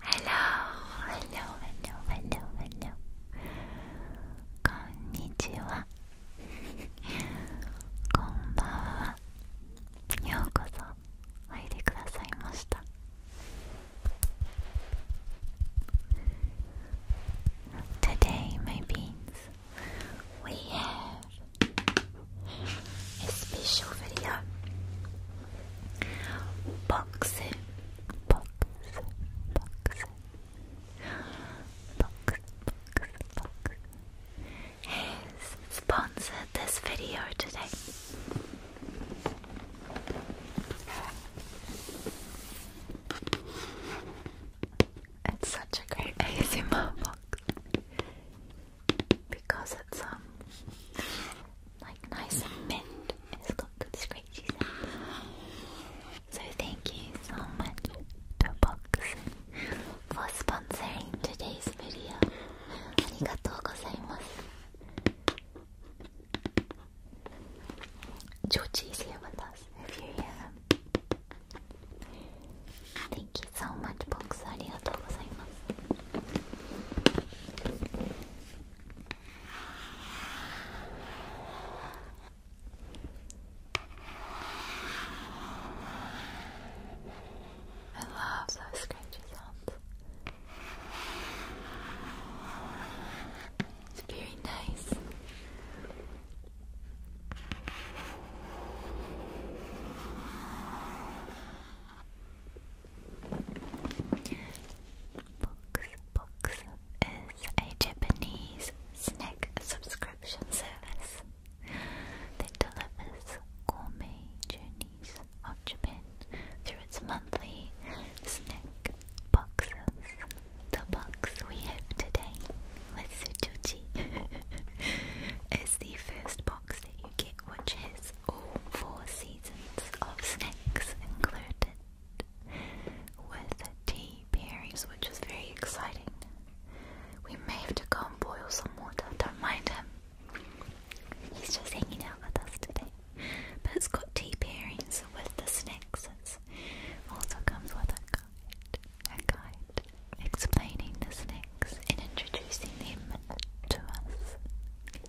Hello, hello, hello, hello, hello. こんにちは。こんばんは。ようこそおいでくださいました。Today, my beans, we have a special video. Boxing, boxing, boxing. Box, box, box. Has sponsored this video today. It's such a great ASMR box because it's um like nice and mint. It's got good scratchy sound. So thank you so much to Boxing for sponsoring today's video. Arigatou gozaimasu. Georgie's Thank you so much, Box. Arigatou I love those scratchy sounds. It's very nice. Box Box is a Japanese snack subscription service that delivers gourmet journeys of Japan through its monthly snack boxes. The box we have today, with Sujoji, is the first box that you get, which has all four seasons of snakes included with tea berries, which is very exciting. We may have to go and boil some water, don't mind him. He's just hanging out with us today. But it's got tea pairings with the snacks. also comes with a guide. A guide explaining the snacks and introducing them to us.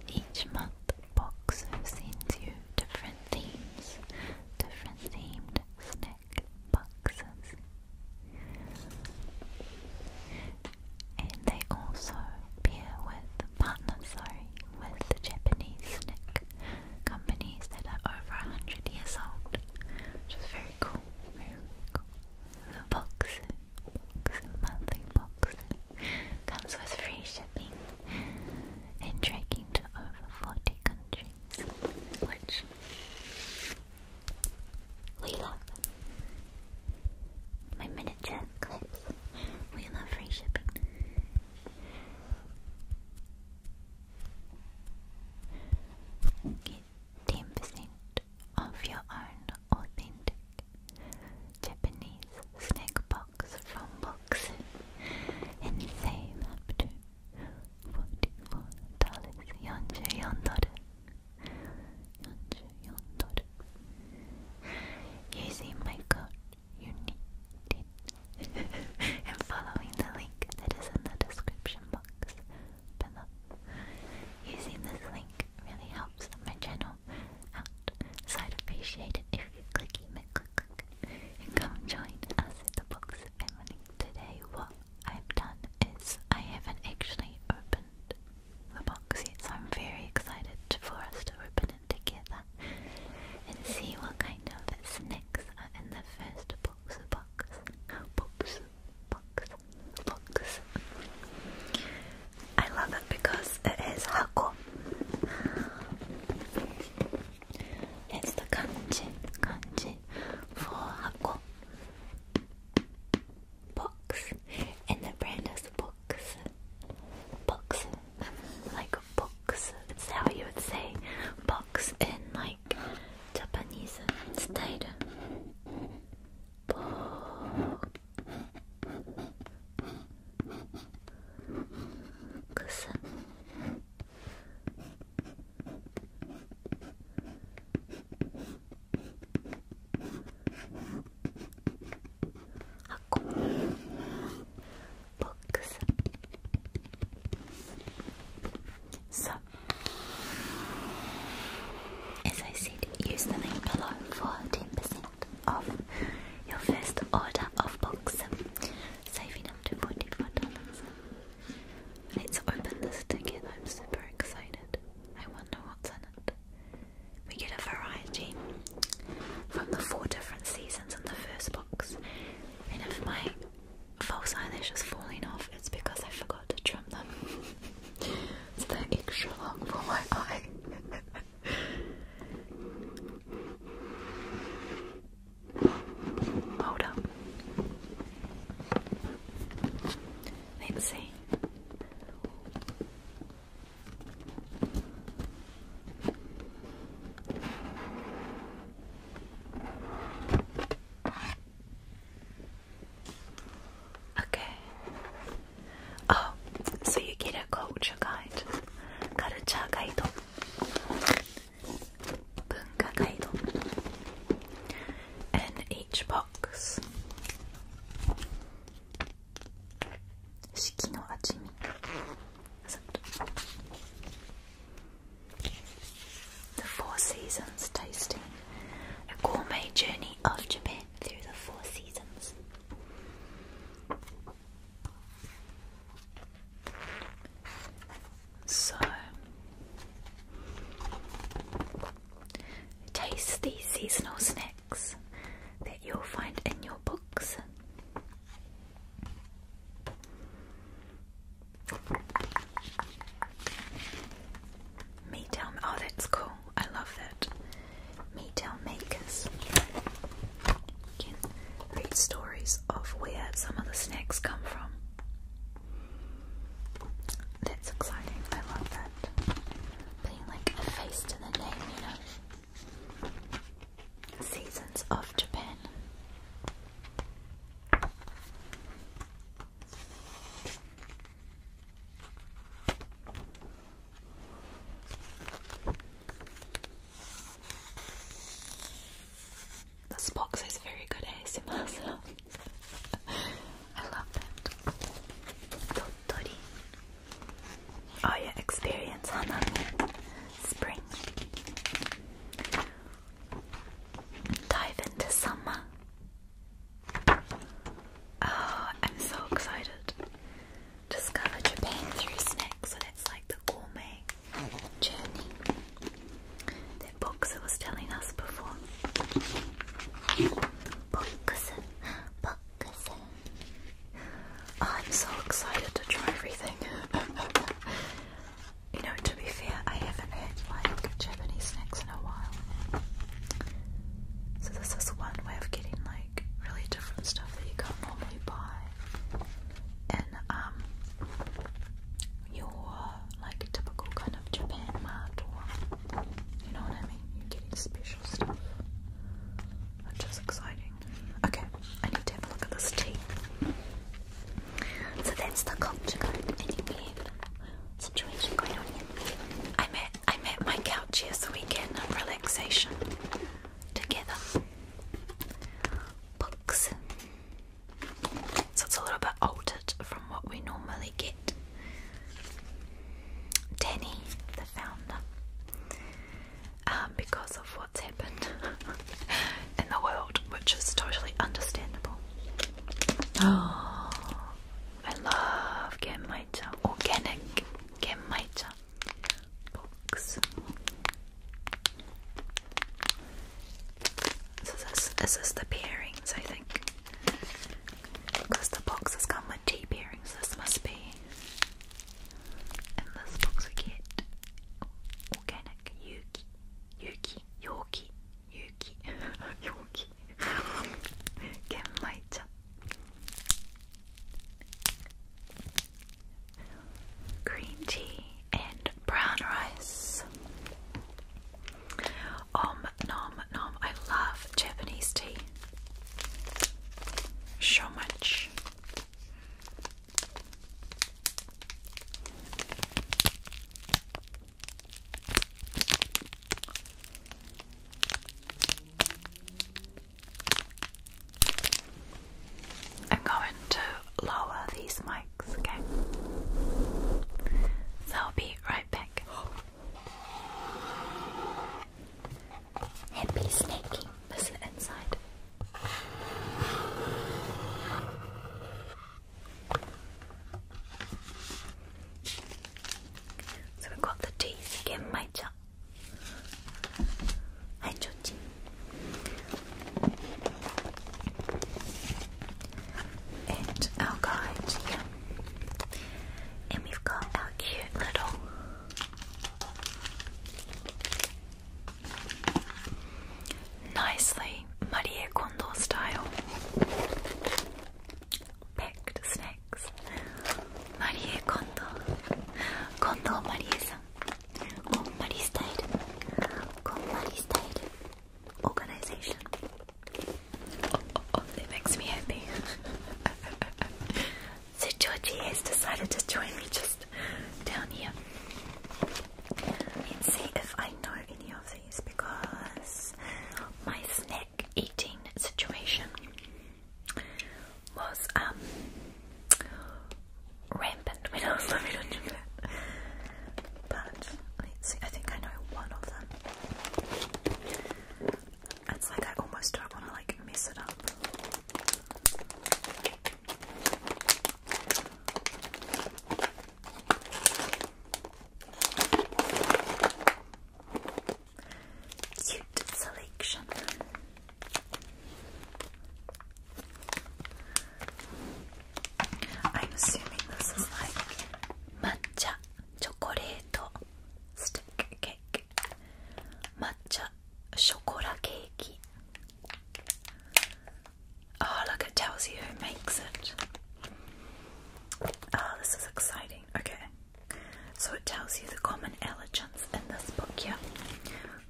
Each month the box sends you different themes, different themed snack boxes. And they also pair with partner, sorry, with the Japanese snack companies that are over a hundred years old. Which is very cool. Very cool. The boxes, boxes, monthly boxes. Comes with free shipping and tracking to over 40 countries, which we love. My miniature clips, we love free shipping. Get 10% of your own authentic Japanese snack box from Boxu and save up to $44.44 44 dollars 44 dollars using my code you and following the link that is in the description box below. Using this link really helps my channel I'd appreciate it if you clicky click click and come join us at the Books family. Today what I've done is I haven't actually opened the box yet, so I'm very excited for us to open it together and see what kind of snacks are in the first box box. Box box box. I love it because it is hako. It's the kanji, kanji for hako. Box. And the brand is box. Box. Like box. It's how you would say box in like Japanese style. Box. So, as I said, use the name below for 10% of your first order of books, saving up to 24 Let's open this ticket. I'm super excited. I wonder what's in it. We get a variety from the four different seasons in the first box. And if my false eyelash is falling off, it's because I forgot to trim them. it's that extra long for my eye. Hold up. Let's see. Okay. Oh, so you get a culture guide. カルチャーガイド文化ガイド and each box 四季の味見さ The Four Seasons Tasting A Gourmet Journey of Japan Through the Four Seasons so taste these seasonal snacks that you'll find in your books. Me Oh, that's cool. I love that. Maytown Makers. You can read stories of where some of the snacks come from. That's exciting, I love that. Putting like a face to the name, you know. Seasons of Japan. This box is very good ASMR sounds. I love that. Dottori. Oh yeah, experience Spring. Dive into summer. Oh, I'm so excited. Discover Japan through snacks, so that's like the gourmet journey that Boxer was telling us before. Boxer, Boxer. Oh, I'm so excited to try everything. you know, to be fair, I haven't had like Japanese snacks in a while. So this is one way of getting like really different stuff that you can't normally buy. And um your like typical kind of Japan mart or you know what I mean? You're getting special stuff. Which is exciting. Okay, I need to have a look at this tea. So that's the culture code anyway situation going on here. i met I'm my couch here so we can have relaxation together books. So it's a little bit altered from what we normally get. Danny, the founder, um, because of what's happened in the world, which is totally understandable. Oh, I love Gammaita, organic Gammaita box. So this, is the bearings, I think. Because the box has come with T bearings, this must be. In this box we get organic yuki, yuki, yorki, yuki, yorki, genmaicha, green tea and brown rice. Om nom nom. I love Japanese tea so much. I'm going to lower these mics, okay? So I'll be right back. Happy snaking. Listen inside. So we've got the teeth again, Major. Hi, 좋지. And our guide here. And we've got our cute little nicely Marie Kondo style packed snacks. Marie Kondo. Kondo Marie-san organization. Oh, oh, oh, it makes me happy. so Georgie has decided to join me just down here and see if I know any of these because my snack eating situation was um rampant. We don't love it But I think I know one of them. It's like I almost don't want to like mess it up. Cute selection. I'm assuming this is like matcha chocolate stick cake, matcha chocolate cake. Oh, look, it tells you who makes it. Oh, this is exciting. Okay, so it tells you the common elegance in this book, yeah.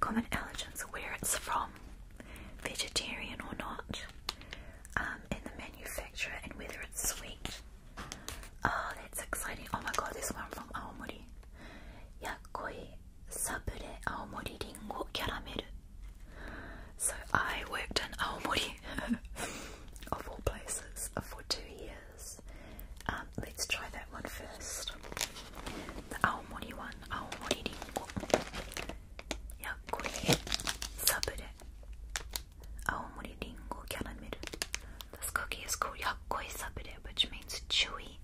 Common elegance where it's from, vegetarian or not, um, and the manufacturer and whether it's sweet. Oh, that's exciting. Oh my god, this one from Aomori. Yakoi Sabure Aomori Ringo Caramel. So I worked in Aomori, of all places, for two years. Um, let's try that one first. 青森湾青森りんごやっこりサブレ青森りんごキャラメル This cookie is called Yakkoi Sabure, which means chewy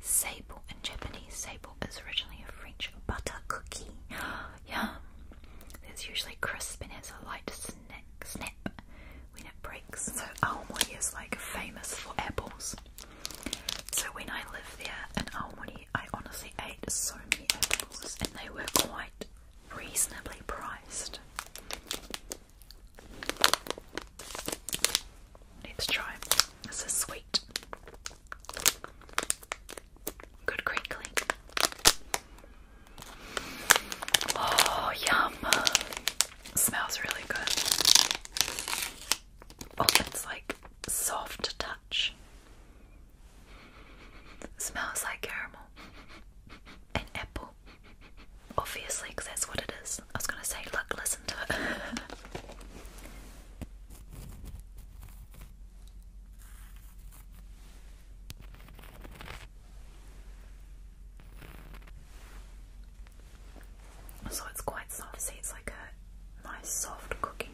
sable in Japanese. Sable is originally a French butter cookie. Yum! It's usually crisp and has a light snack, snap when it breaks. So Aomori is like famous for apples. So when I lived there in Aomori, I honestly ate so many apples and they were quite reasonably priced. Let's try. This is sweet. Good crinkling. Oh, yum! Smells really good. Oh, it's like soft touch. smells like caramel and apple. Obviously, because that's what it is. I was gonna say, look, listen to it so it's quite soft. See, it's like a nice soft cooking.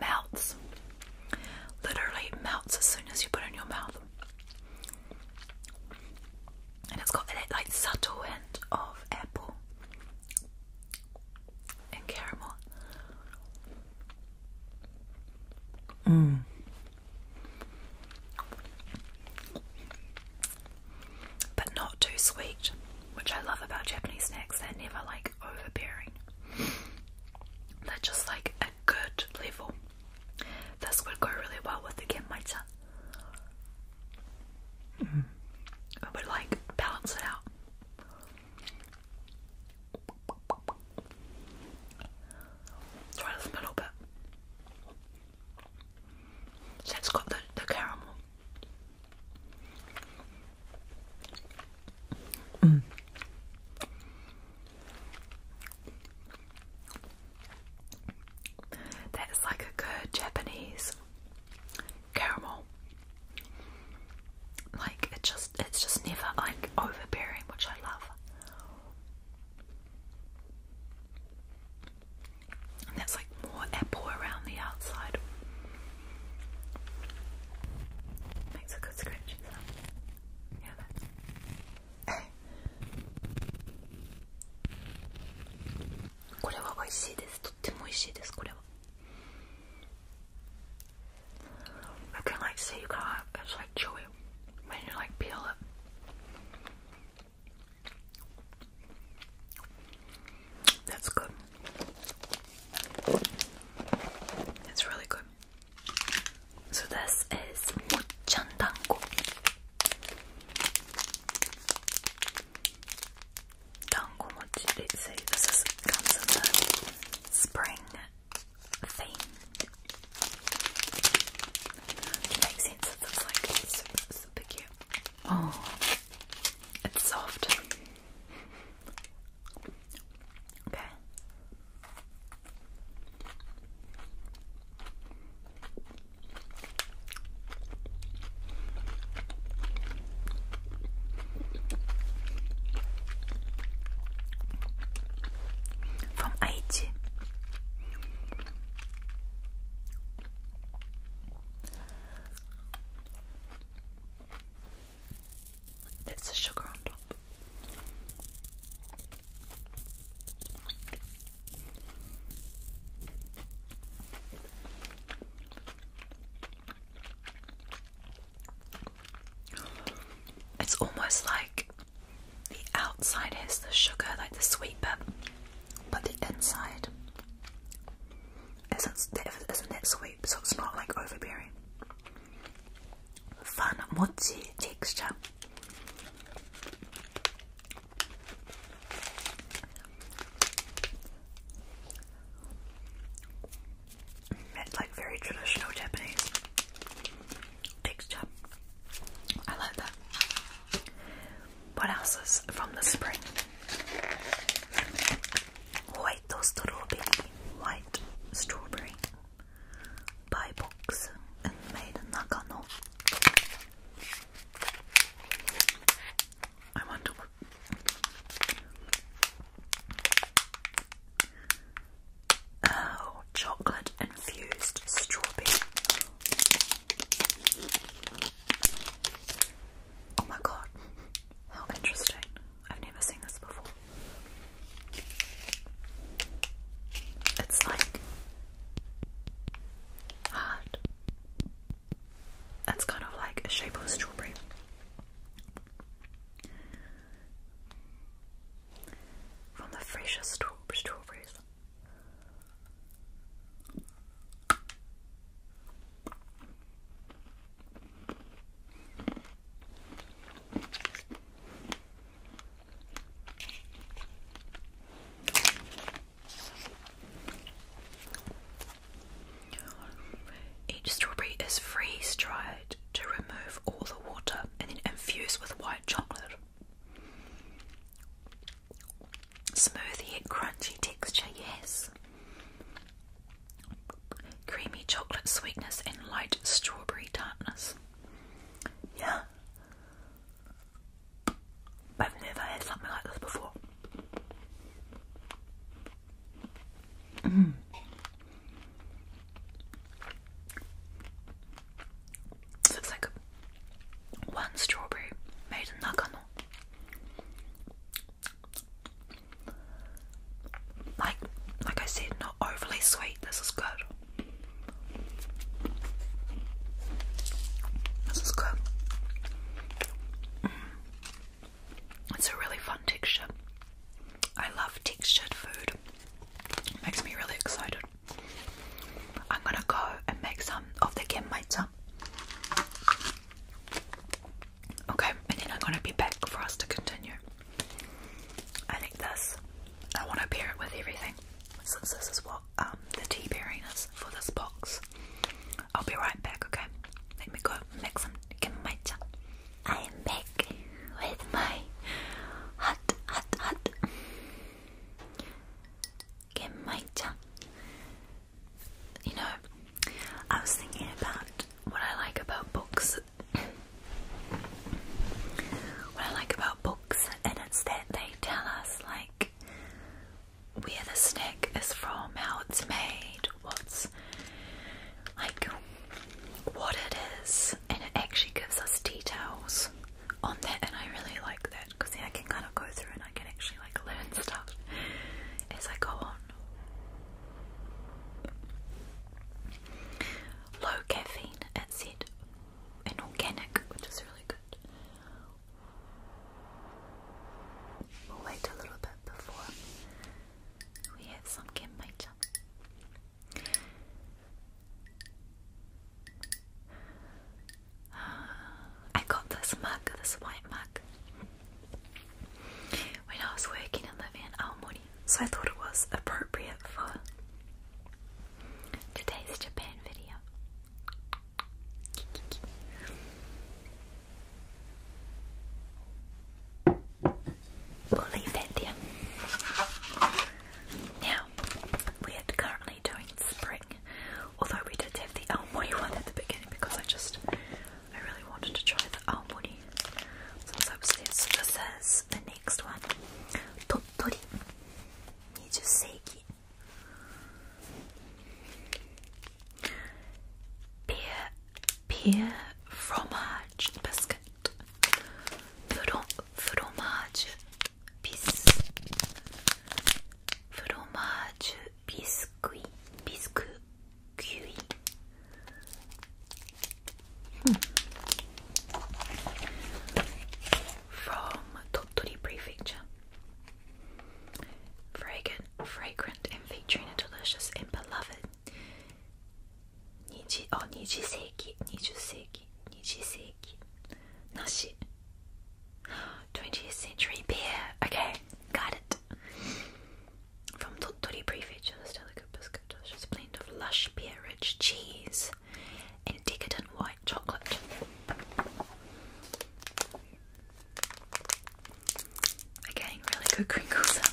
Melts. Literally melts as soon as you put it in your mouth. And it's got that like subtle hint of apple and caramel. Mm but not too sweet, which I love about Japanese snacks. They're never like overbearing, they're just like a good level. This would go really well with the kimchi Mm. It would like balance it out. Try this middle bit. So it's got the, the caramel. Mm. That is like a good Japanese caramel. Like it just it's just never like overbearing, which I love. And that's like more apple around the outside. Makes a good scratching Yeah, that. これは美味しいです。とっても美味しいです。これは。I can like see that's good. That's really good. So this is mochjandango. Dango mochi. They say this is comes in spring thing to make sense of this, like it's super, super cute. Oh, it's soft. Okay. From Aichi, it's the sugar on top. It's almost like the outside is the sugar, like the sweet bit, but the inside isn't, isn't that sweet, so it's not like overbearing. Fun mochi texture. It's like very traditional Japanese texture. I like that. What else is from the spring? White strawberry? White strawberry by box made in Nagano. I wonder Oh, chocolate infused strawberry. Oh my god, how interesting. I've never seen this before. It's like hard. It's kind of like a shape of a strawberry. From the freshest strawberries. Each strawberry is freeze dried to remove all the water and then infused with white chocolate. Smoothie yet crunchy texture, yes. Creamy chocolate sweetness and light strawberry tartness. Yeah. I've never had something like this before. Mm. It's looks like one strawberry made in Nagano. Like, like I said, not overly sweet. This is good. This is good. Mm. It's a really fun texture. I love textured food. It makes me really excited. I'm gonna go and make some of the kimchi, Okay, and then I'm gonna be back for us to continue. I think this, I want to pair it with everything since this is what um, the tea pairing is for this box. I'll be right back, okay? Let me go make some genmaita. I am back with my hot, hot, hot Gemmaita. You know, I was thinking about what I like about books. what I like about books, and it's that they tell us, like, where the snack is from, how it's made, what's like what it is, and it actually gives us details on that and I really like that because then I can kind of go through and I can actually like learn stuff as I go on. Low caffeine, it said, and organic, which is really good. We'll wait a little bit before we have some kenmacha. I got this mug, this white mug, when I was working and living in money, so I thought it was appropriate for today's Japan video. We'll Now, we're currently doing spray Although we did have the almoni one at the beginning because I just I really wanted to try the almoni. So I was there. So this is the next one. Tottori. Nijuseiki. Beer beer fromage biscuit. Fromage Bis fromage biscuit biscuit hmm. from Tottori Prefecture. Fragrant, fragrant, and featuring a delicious and beloved. Niji, oh, Niji Seiki, Niji Seiki, Niji Seiki. Nashi 20th century beer. Okay, got it. From Tottori Prefecture, this delicate biscuit is a blend of lush beerage cheese and decadent white chocolate. Again, really good crinkle sounds.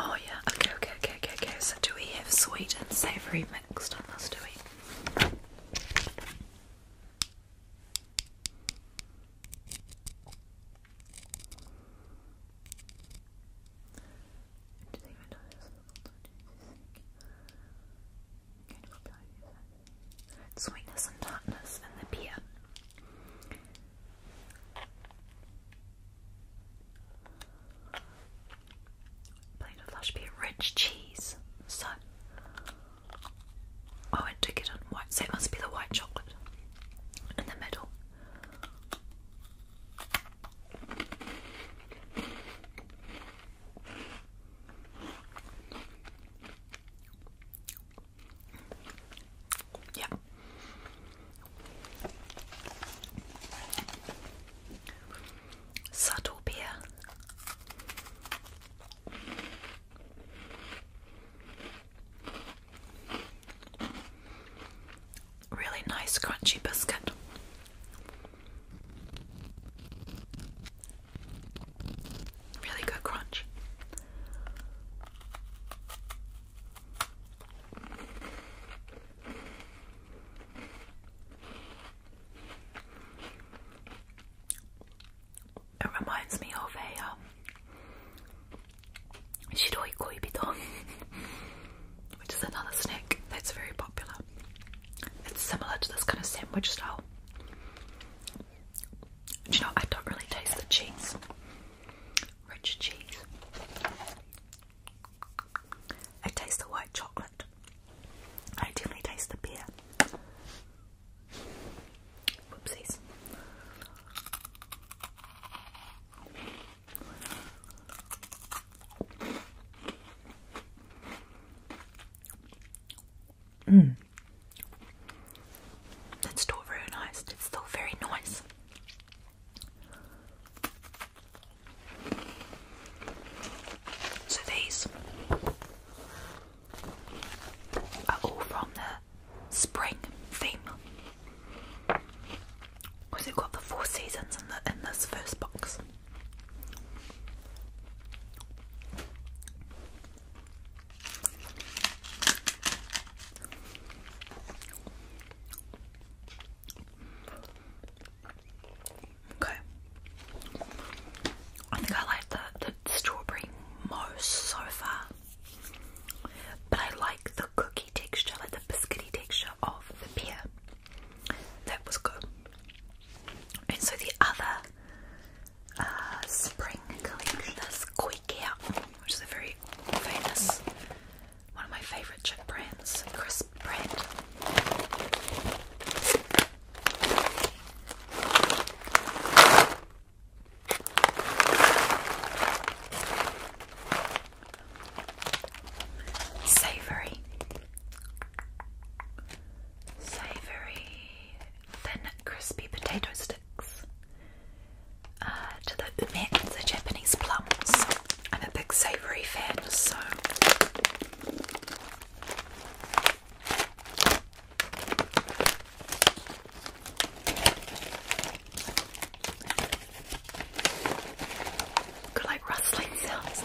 Oh yeah, okay, okay, okay, okay, okay. So do we have sweet and savoury mixed on us? do we? Sweetness and darkness in the beer. Plate of lush beer, rich cheese. So, oh, and to get on white, so it must be the white chocolate in the middle. Yeah. Subtle beer really nice crunchy biscuit. Really good crunch. It reminds me of a um, shiroi koibito which is another snack that's very popular. It's similar to this kind of sandwich style. Do you know, I don't really taste the cheese. Rich cheese. I taste the white chocolate. I definitely taste the beer. Whoopsies. Mm. That's still very nice. It's still very nice. So these are all from the spring theme because it got the four seasons in, the, in this first box. Okay. I think I like the, the strawberry most so far. But I like the cookie texture, like the biscuity texture of the pear that was good. And so the other uh, spring collection is Koi which is a very famous, one of my favourite chip brands, crisp brand. Savory. Savory thin crispy potato sticks. Uh, to the ume Japanese plums. I'm a big savory fan, so Got like rustling sounds.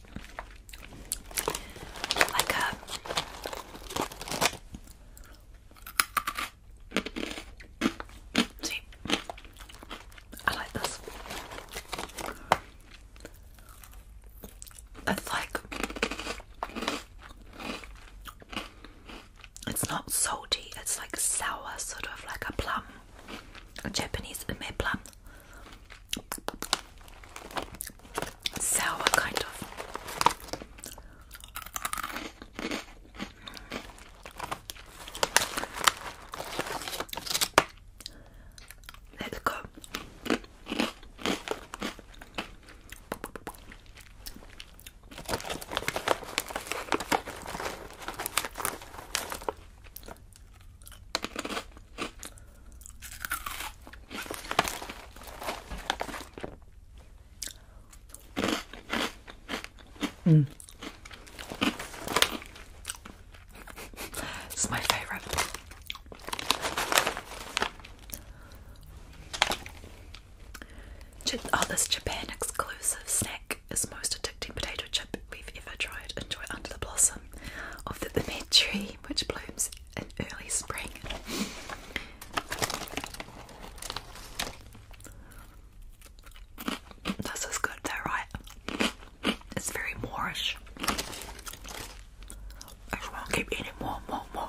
like a uh, see I like this it's like it's not salty it's like sour sort of like a plum a Japanese ume plum sour kind of. Let's go. Mm. It's my favorite. Oh, this Japan exclusive snack is most addicting potato chip we've ever tried. Enjoy under the blossom of the, the med tree, which blooms and early spring. This is good right? It's very moorish. I just want keep eating more, more, more.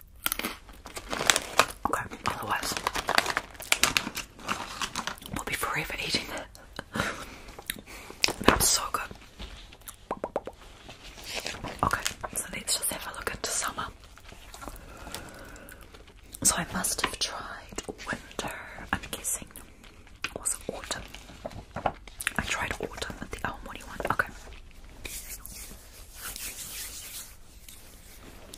Okay, otherwise, we'll be eating That's so good. Okay, so let's just have a look into summer. So I must have tried winter, I'm guessing. it Was autumn? I tried autumn with the Almoni one. Okay.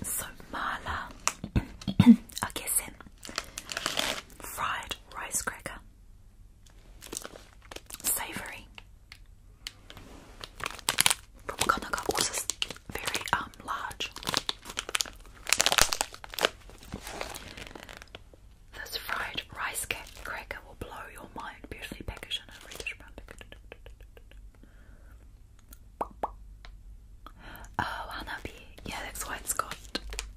So Marla, I guess in fried rice cracker, savoury. Propaganda also very um large. This fried rice cracker will blow your mind. Beautifully packaged in reddish brown packet. Oh, Hanabi. Yeah, that's why it's got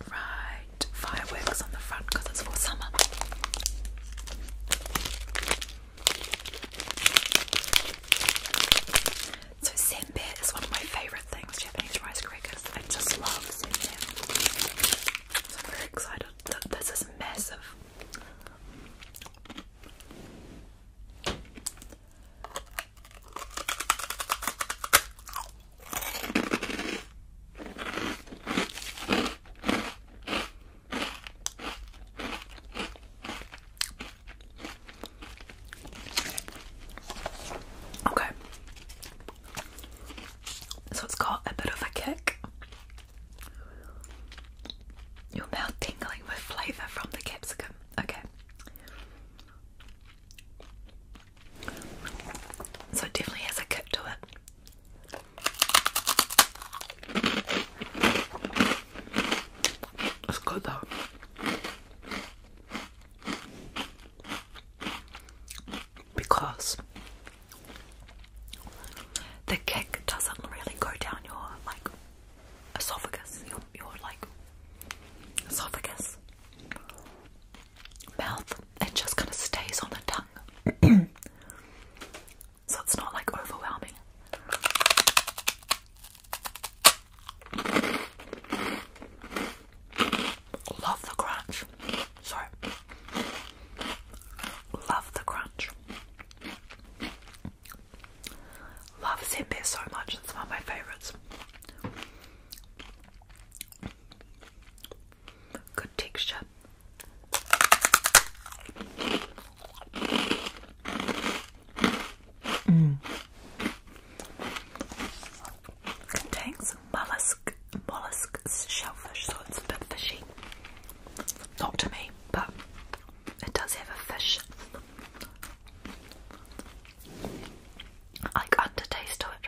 right fireworks on the front because it's for summer. So senbei is one of my favourite things, Japanese rice crackers. I just love senbei. So I'm very excited. This is massive. Okay. So it's got a bit of a kick. Your mouth tingling with flavour from the capsicum. Okay. So it definitely has a kick to it. It's good though. Because the kick doesn't really go down your like esophagus, your your like esophagus, mouth. It just kind of stays on the tongue, so it's not like overwhelming. Love the crunch. Sorry. Love the crunch. Love Senbei so much, it's one of my favourites. Good texture. Contains mollusk, mollusk shellfish, so it's a bit fishy. Not to me, but it does have a fish like undertaste to it.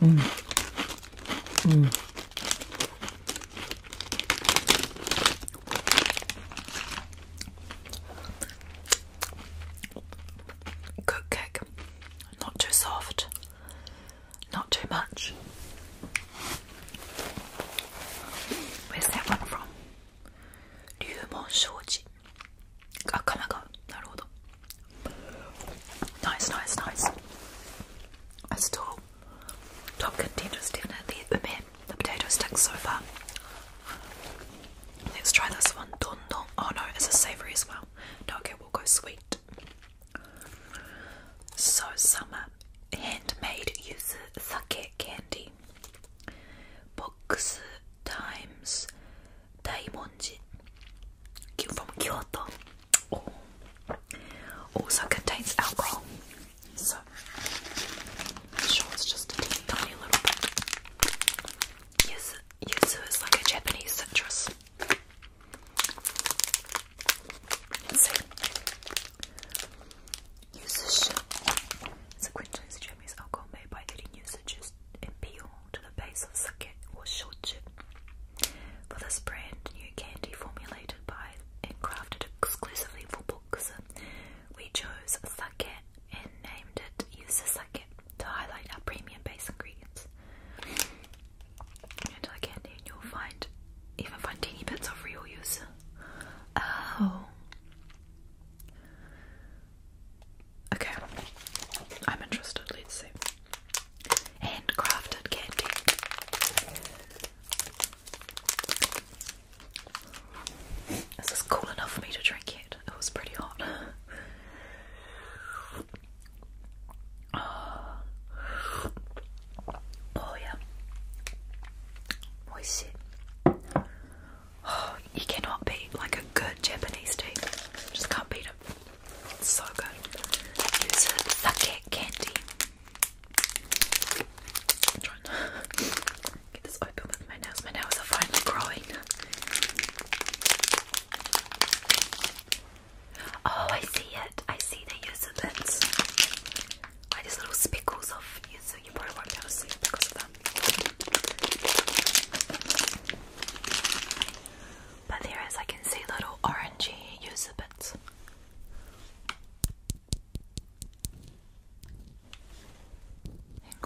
Mm. Mm. Cook cake, not too soft, not too much. Where's that one from? Ryumon Shoji. Ah, oh, Kamaga. Nice, nice, nice. top contenders, definitely. Ume, the potato sticks so far. Let's try this one. Don don. Oh no, it's a savory as well. No, okay, we'll go sweet. So summer handmade yuzu sake candy. Box times Daimonji from Kyoto. Oh. Also contains alcohol. So sure it's just a tiny little Yuzu, is like a Japanese citrus. Let's is a quintessence Japanese alcohol made by adding yuzu juice and peel to the base of sake or shochu. For this brand new candy formulated by and crafted exclusively for books, we chose sake and named it Yuzu Sake to highlight our premium base ingredients. And our candy, and you'll find even find teeny bits of real use. Oh. Okay, I'm interested. Let's see. Handcrafted candy. Is cool enough for me to drink it was pretty hot. Oh, oh. yeah. Moist. Oh, you cannot beat like a good Japanese tea. Just can't beat it. so good. Use candy. trying to get this open with my nails. My nails are finally growing. Oh, I see it. I see the use of it. Like little speckles of you, you probably won't be able to see because of them. But there is, I can see little orangey user bits. And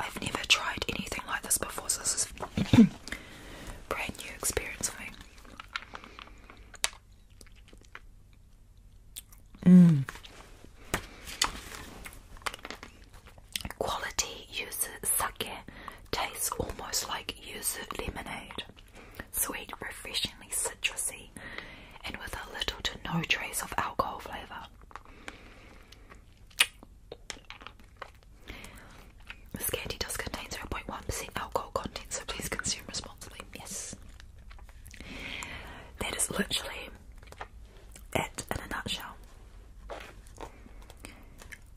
I've never tried anything like this before, so this is brand new experience for me. Mm. Quality yuzu sake tastes almost like yuzu lemonade. Sweet, refreshingly citrusy, and with a little to no trace of alcohol flavour. This candy does contain 0.1% alcohol content, so please consume responsibly. Yes. That is literally it in a nutshell.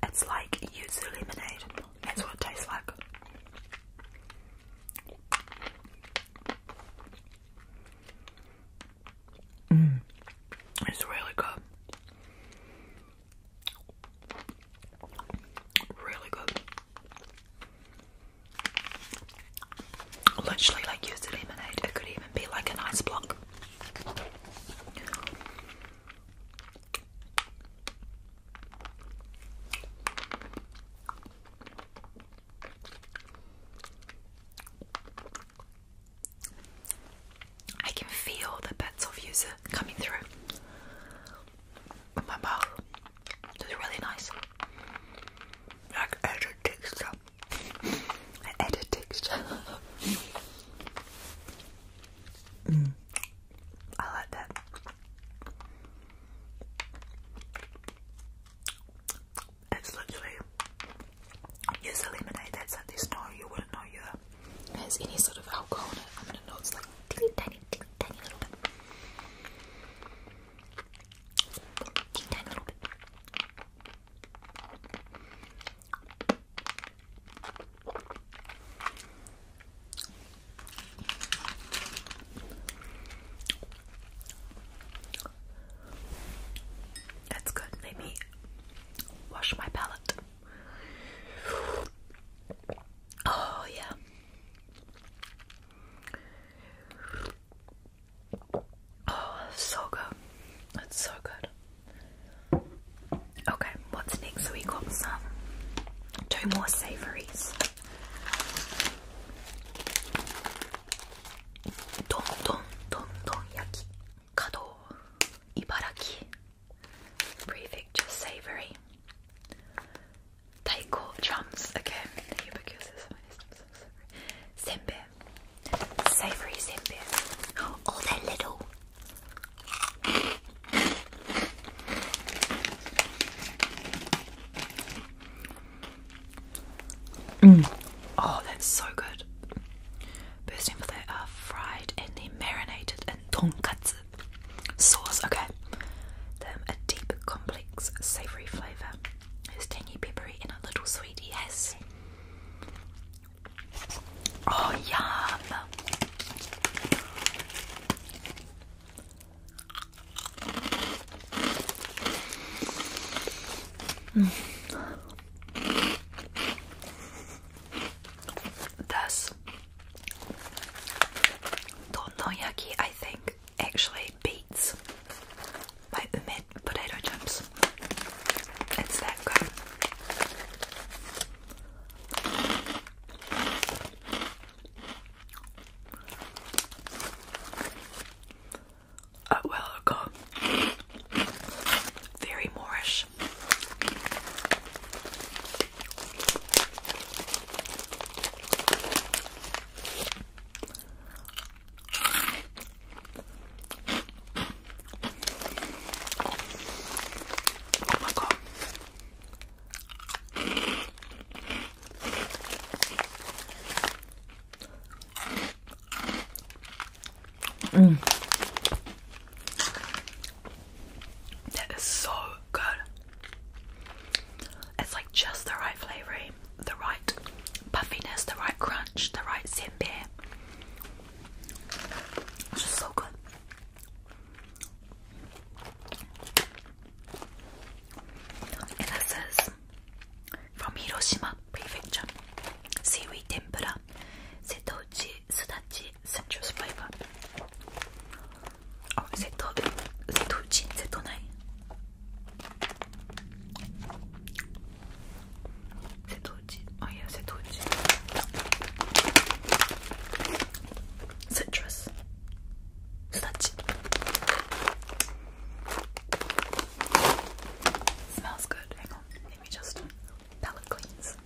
It's like yuzu lemonade. That's what it tastes like. Mm, it's really good. Really good. Literally, like use the lemonade. It could even be like an ice block. I can feel the bits of coming through my mouth. It's really nice. Like added texture. I added texture. mm. I like that. It's literally use a lemonade that's this. No, you wouldn't know you has any sort of alcohol in it. I'm gonna know it's like teeny tiny, tiny little bit, tiny little bit. That's good. Let me wash my palate. Oh, yeah. Oh, so good. That's so good. Okay, what's next? So we got some two more savories. Don don don don yaki kado ibaraki prefecture savory. Taiko drums. Okay, the ubiquitous Simbit. Savory Simbit. Oh, they're little. Mm. Oh, that's so good. Bursting for they are fried and then marinated in tonkatsu sauce. Okay. Them a deep, complex, savory flavour. It's tangy, peppery, and a little sweet. Yes. Oh, yum. Mm. This don, yaki, I think, actually beats by Umid potato chips. It's that good. Oh well, God. Very Moorish. Oh my god. Mm. That is so good. It's like just the right flavoring, the right puffiness, the right crunch, the right senbei. It's just so good. And that says from Hiroshima Prefecture, seaweed tempura, setochi, sudachi, citrus flavor. Oh, seto, setochi, setonai. C'est trop cheap. Oh Citrus. Smells good. Hang on. Let me just palette cleans.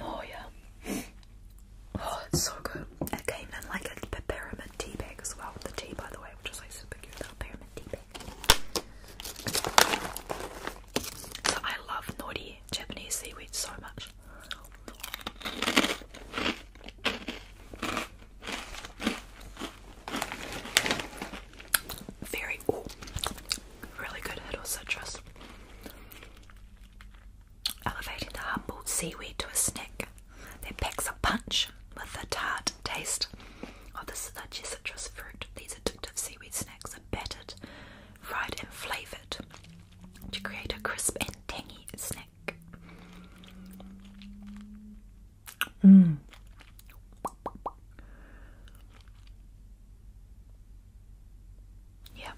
Oh yeah. Oh, it's so good. It came in like a, a pyramid tea bag as well. The tea, by the way, which is like super cute. Little pyramid tea bag. I love naughty Japanese seaweed so much. Very, oh, really good hit citrus elevating the humbled seaweed to a snack that packs a punch with a tart taste of the citrus fruit. These addictive seaweed snacks are battered, fried, and flavoured to create a crisp and tangy snack. Mm. Yeah.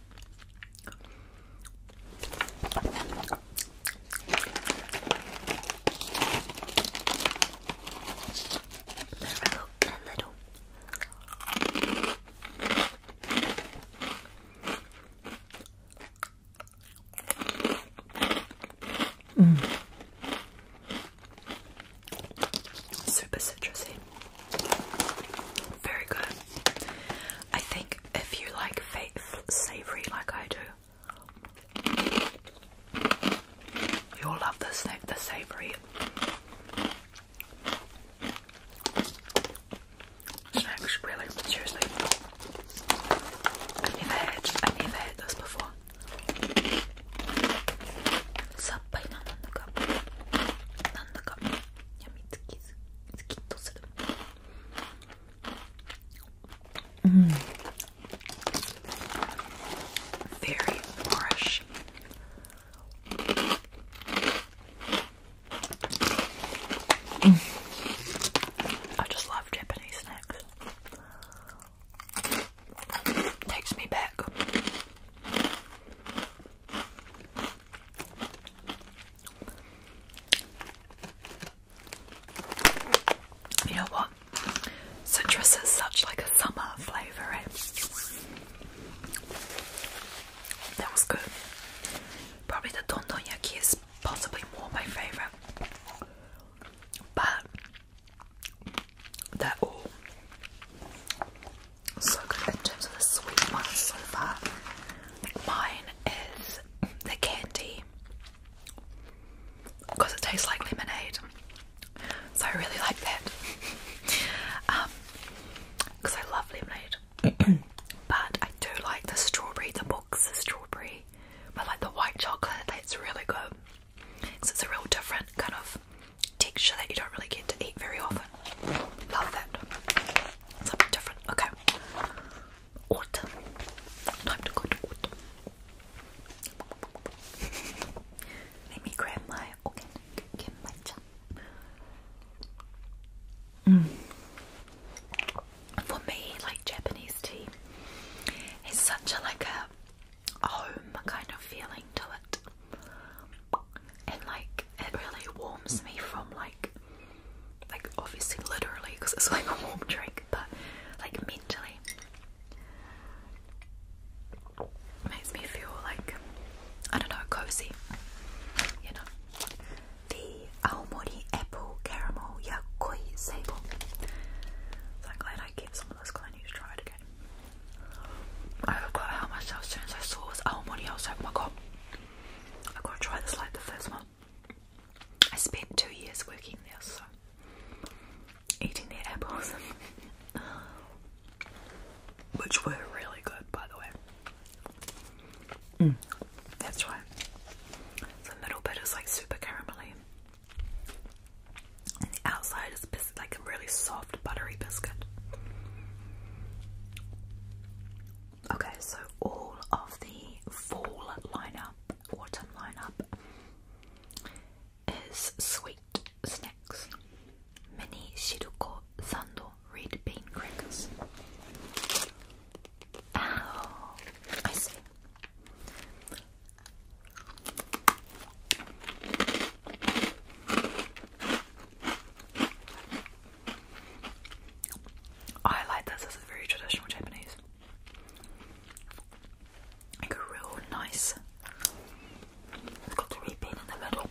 There we A little. Mm. Super citrusy. Very good. I think if you like savory like I do, you'll love the, sa the savory snacks, really, seriously. I've never had, I've never had this before. Sappai na nanaka. Nanaka. やみつきずズキッとするうん mm. very fresh mm. I just love Japanese snacks takes me back you know what? Citrus is such like a summer flavour, eh? That was good. Probably the Dondonyaki is possibly more my favourite. But they're all so good in terms of the sweet ones so far. Mine is the candy because it tastes like lemonade. So I really like that. um, because I love lemonade. but I do like the strawberry, the box the strawberry. But like the white chocolate, that's really good. because it's a real different kind of texture that you don't really get to eat very often. Love that. Something different. Okay. Autumn. Time to go Let me grab my mm. For me, like Japanese tea is such a like a home kind of feeling to it and like it really warms me from like like obviously literally because it's like a warm drink but like mentally makes me feel like I don't know cozy you know the Aomori apple caramel yakoi sable so I'm glad I get some of this because I try again I forgot how much I was doing so sauce. Oh, money, I was like, oh my god, I've got to try this like the first one. I spent two years working there, so eating the apples, which were really good, by the way. Mm. That's right. The middle bit is like super caramelly, and the outside is like a really soft, buttery biscuit. Okay, so all of the fall lineup, autumn lineup is sweet snacks. Mini Shiruko Sando red bean crackers. Oh, I see. I like this. This is very traditional Japanese. Like a real nice. It's got the red bean in the middle.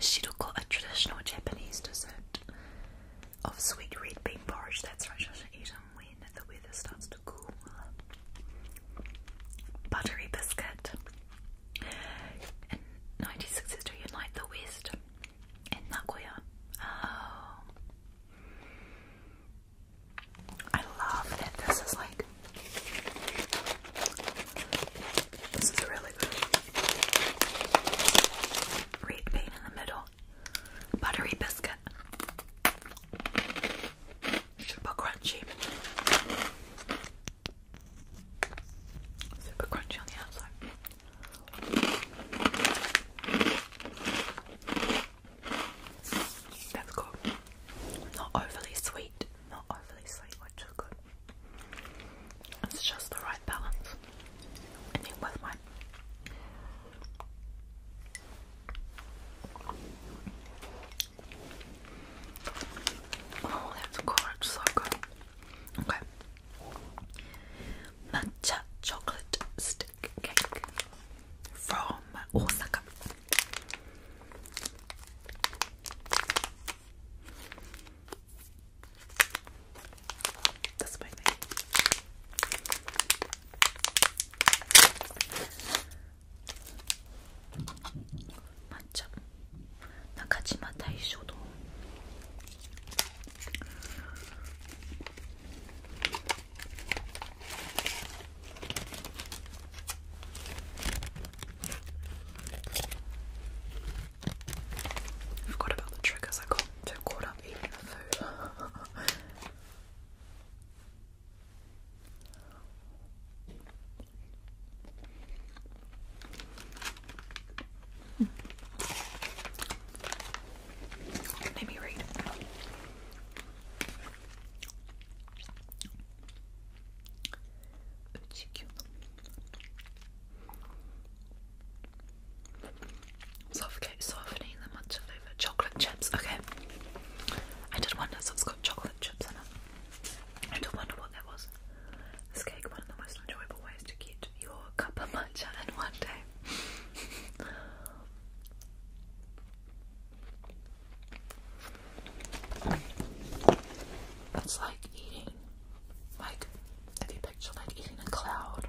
Shiroko, a traditional Japanese dessert of sweet red bean porridge. That's right, I should eat them when the weather starts to cool. Buttery biscuit. In 1962, Unite the West in Nagoya. Oh. I love it. this is like. This is really good. Red bean in the middle, buttery biscuit. Super crunchy. Super crunchy on the outside. That's good. Not overly sweet. Not overly sweet, which is good. It's just the right balance. I think with Oh, that's so good. Okay. Matcha chocolate stick cake from Osaka. That's my thing. 맞죠? 나가지마 다이쇼도. about the triggers I got so caught up eating the food. Let me read. Suffocate softening the matcha flavor. Chocolate chips, okay. I did wonder, so it's got chocolate chips in it. I did wonder what that was. This cake, one of the most enjoyable ways to get your cup of matcha in one day. It's like eating, like, if you picture like eating a cloud.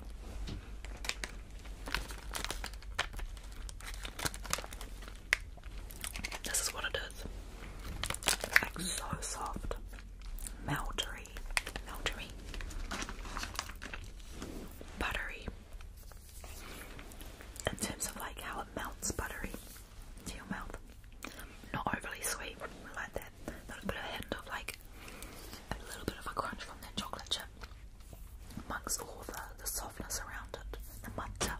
This is what it is. It's like so soft. Meltery. Meltery. Buttery. In terms of like how it melts buttery to your mouth. Not overly sweet, like that. A little bit of like a little bit of a crunch from that chocolate chip amongst all the, the softness around it. The matcha.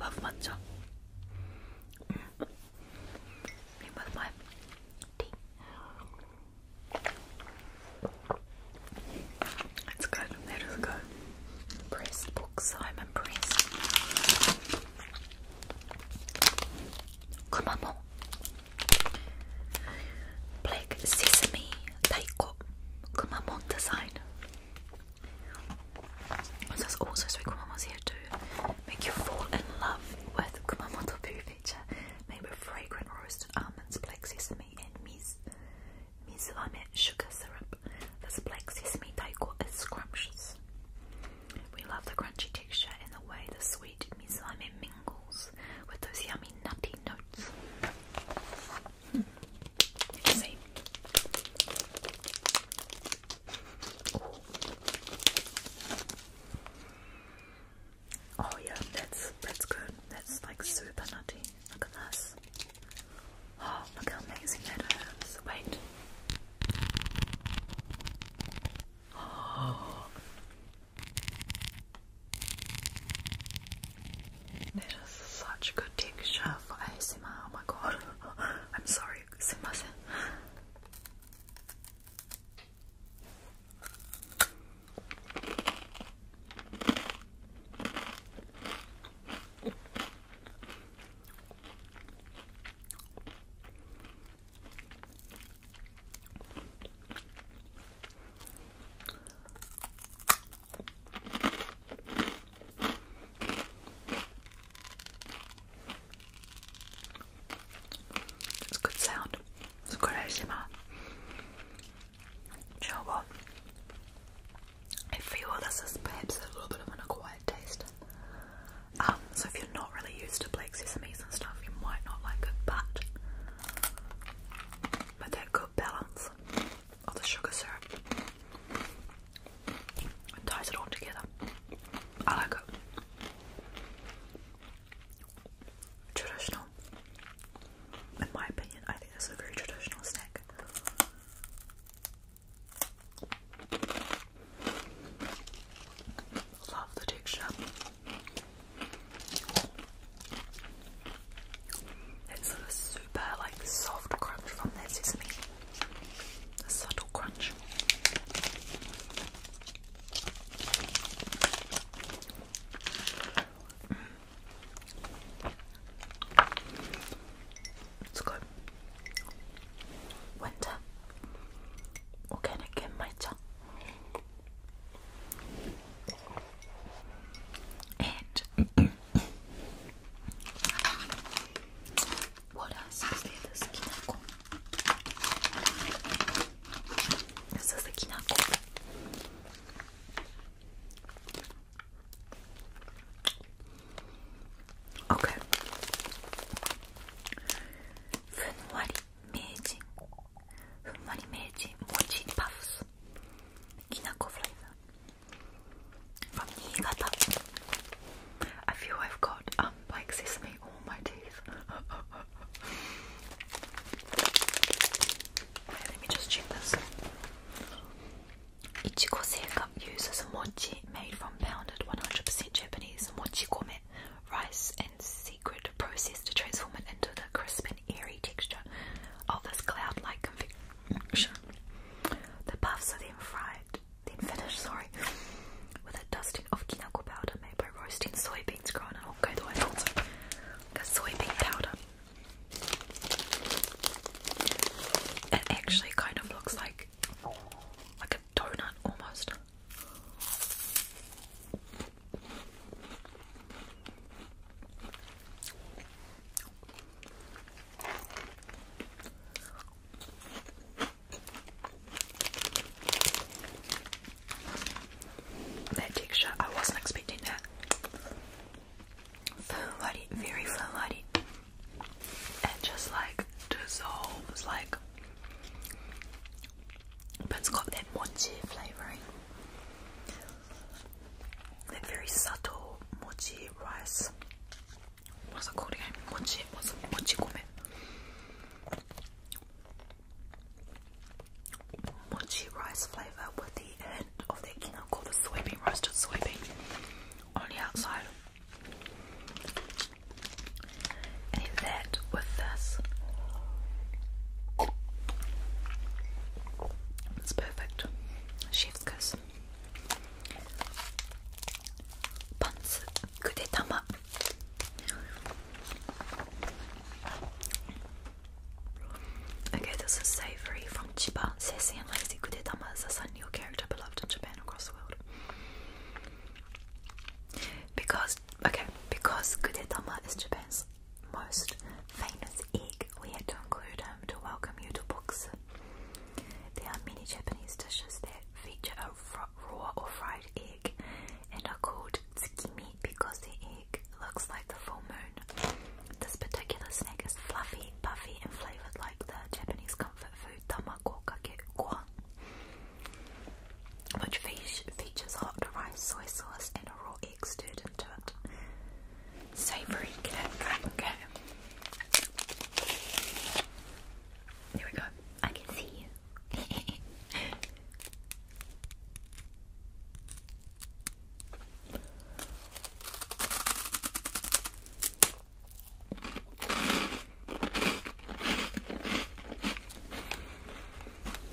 Love matcha. Mm. with my tea. It's good. That is good. Impressed books. I'm impressed. Come on, Black Sesame Taiko Kumamon design. This is also so Kumamon's here to make you fall in love with Kumamoto poo feature made with fragrant roasted almonds, black sesame and miz mizwame sugar syrup. This black sesame taiko is scrumptious. We love the crunchy texture and the way the sweet mizwame mingles with those yummy nutty notes. Hmm. see. Oh yeah, that's that's good. That's like super nutty. Look at this. Oh, look how amazing that is. Wait. Oh, it is such a good texture for ASMR. Oh my god. I'm sorry. Simbasen. It's a good sound. It's a good ASMR. You know what? I feel this is perhaps a little bit of an acquired taste. Um, so if you're not really used to black sesames and stuff, you might not like it, but but they good balance of the sugar syrup. ties it all together. I like it. Traditional. In my opinion, I think that's a very traditional snack. Love the texture sort of super like soft crunch from this, isn't A subtle crunch. Mm. It's good. Winter. Organic in my tongue. And what else is there? This kinako. This is the kinako. Okay. ふんわり名人ふんわり明治もちパフスきなこフライザー from 新潟 I feel I've got um, like sesame on my teeth Let me just check this いちご製菓 uses mochi made from pounded 100% Japanese mochi gome rice and secret process to transform it into the crisp and airy texture of this cloud-like confection. The puffs are then fried, then finished, sorry, with a dusting of kinako powder made by roasting soybeans grown in Hokkaido and also like a soybean powder. It actually kind of looks like like a donut almost. That texture, I wasn't expecting that. firm very firm-bodied. just like dissolves, like, but it's got that mochi flavouring. Then very subtle mochi rice. What's it called again? Mochi. What's Mochi Mochi rice flavour with the end of the king called the soybean roasted soybean on the outside. And eat that with this. It's perfect. Chef's kiss. Buns. Kudetama. Okay, this is savory from Chiba. Sassy and lazy Kudetama is a sanyo character beloved in Japan across the world. Because, okay, because Kudetama is Japan's most famous egg, we had to include him um, to welcome you to books. There are many Japanese dishes that feature a raw or fried egg and are called tsukimi because the egg looks like the full moon. This particular snack is fluffy, puffy, and flavored like the Japanese comfort food tamako kakekwa, which features hot rice, soy sauce, and a raw egg eggs stirred Savoury cake. Okay. we go. I can see you.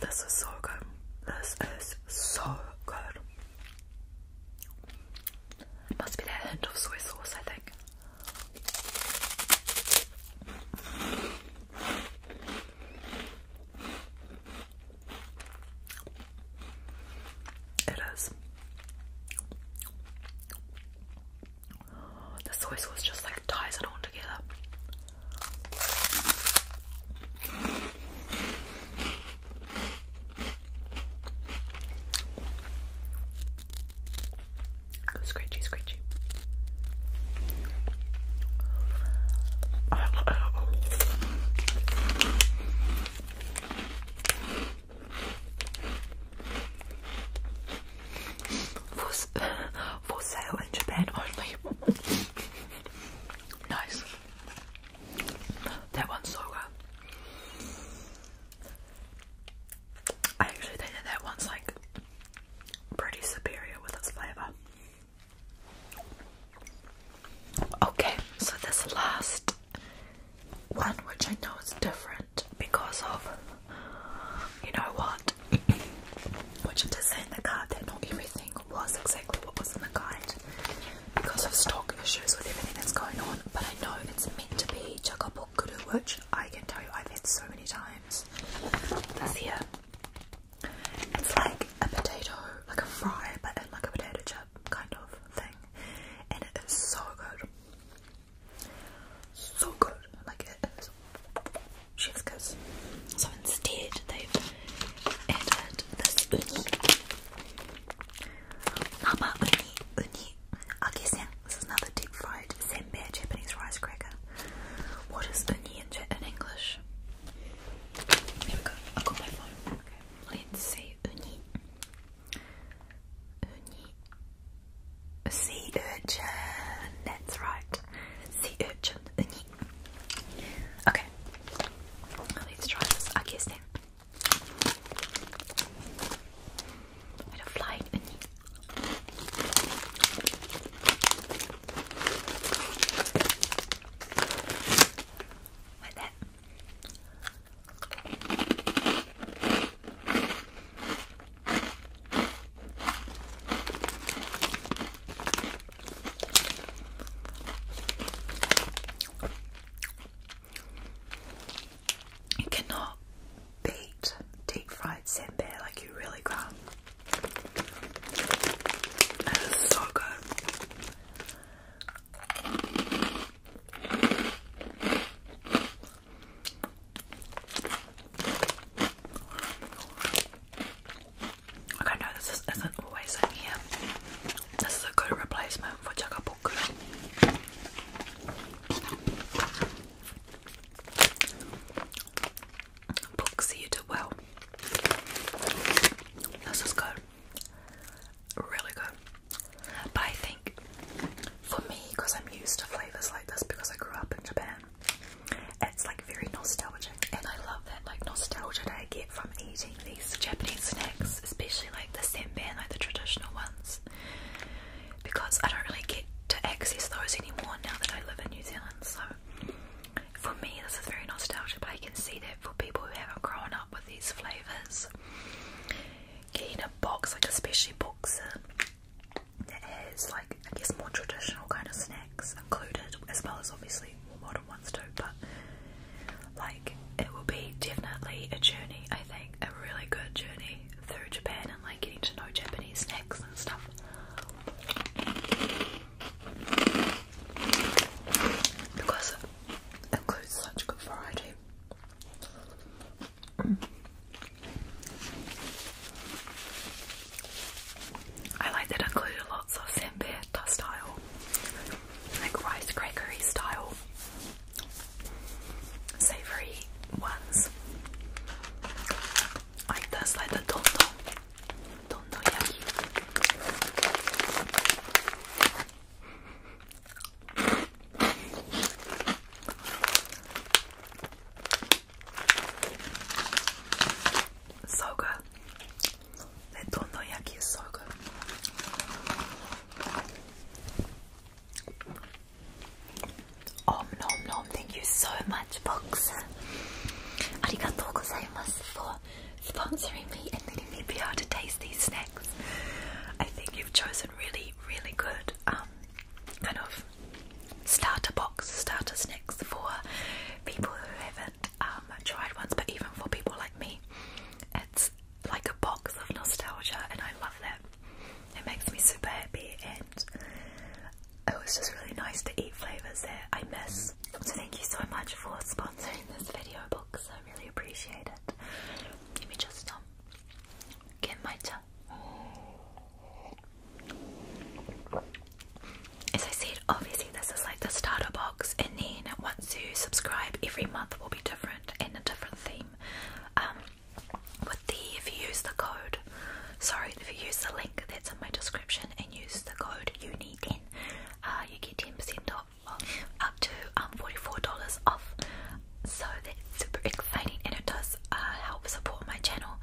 This is so good. This is so good. It must be that hint of soy sauce, I think. It is. The soy sauce just like ties it all together. Scratchy, scratchy. For, for sale in Japan only. nice. That one's so good. I actually think that that one's like pretty superior with its flavour. Okay, so this last one, which I know is different because of you know what, which it is in the card that not everything was exactly what was the guide because of stock issues with everything that's going on. But I know it's meant to be Chakapokuru, which I can tell you I've had so many times. This here, it's like a potato, like a fry, but like a potato chip kind of thing, and it is so good. So good, like it is chef's kiss. So instead, they it had this uni. Nama uni, uni, agisen. This is another deep fried senbei Japanese rice cracker. What is uni in, English? Here we go. I've got my phone. Let's see. Uni. Uni. Sea urchin. That's right. Sea urchin. Uni. Okay. Let's try this Aki's thing. I don't fly in. You cannot beat deep fried senbei like you really can't. is so good. Okay, no, this is, not always in here. This is a good replacement for Chakapuku. Booksy, you did well. This is good. Really good. But I think for me, because I'm used to flavours like this because I grew up in Japan, it's like very nostalgic. And I love that like nostalgia that I get from eating these Japanese snacks, especially like the sampan, like the traditional ones. Because I don't really get to access those anymore now that I live in New Zealand, so for me this is very nostalgic, but I can see that for people who haven't grown up with these flavours. Getting a box, like especially boxes uh, that has like I guess more traditional kind of snacks included as well as obviously more modern once too, but like it will be definitely a journey, I think, a really good journey through Japan and like getting to know Japanese snacks and stuff. Because it includes such good variety. I like that included lots of senbei style like rice crackery style savory ones like this, like the dondo dondo yaki. So good. That dondoyaki is thank you so much, Box. Arigatou gozaimasu for sponsoring me and letting me be able to taste these snacks. I think you've chosen really, really good um, kind of starter box, starter snacks for people who have I um, tried ones, but even for people like me, it's like a box of nostalgia, and I love that. It makes me super happy, and it was just really nice to eat flavours that I miss. So thank you so much for sponsoring this video box. I really appreciate it. Let me just um, get my tongue. As I said, obviously this is like the starter box and then once you subscribe, every month will be different and a different theme. Um, with the if you use the code, sorry, if you use the link that's in my description and use the code UNI10, uh, you get 10% off, up to um, $44 off. So that's super exciting and it does uh, help support my channel.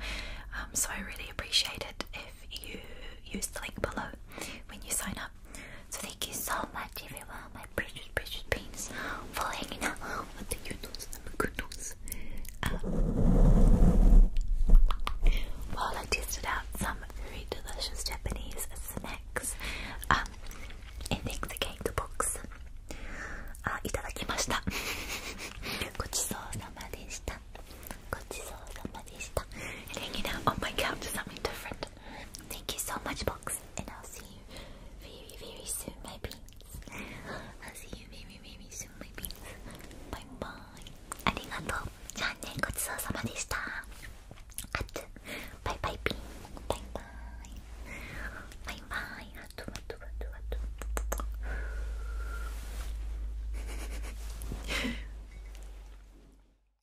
Um, so I really appreciate it if you use the link below when you sign up. So thank you so much everyone, my precious precious beans for hanging out with the noodles and the goodles. Um, while I tested out some very delicious Japanese snacks. Um, and thanks again to box. Uh, itadakimashita. Gochisousama deshita. Gochisousama deshita. And hanging out on oh my couch is something different. Thank you so much, Box, and I'll see you very, very soon, my beans. I'll see you very, very soon, my beans. Bye bye. ありがとう。じゃあね、ごちそうさまでした。あつ。バイバイ、ピン。バイバイ。バイバイ。あと、あと、あと、あと。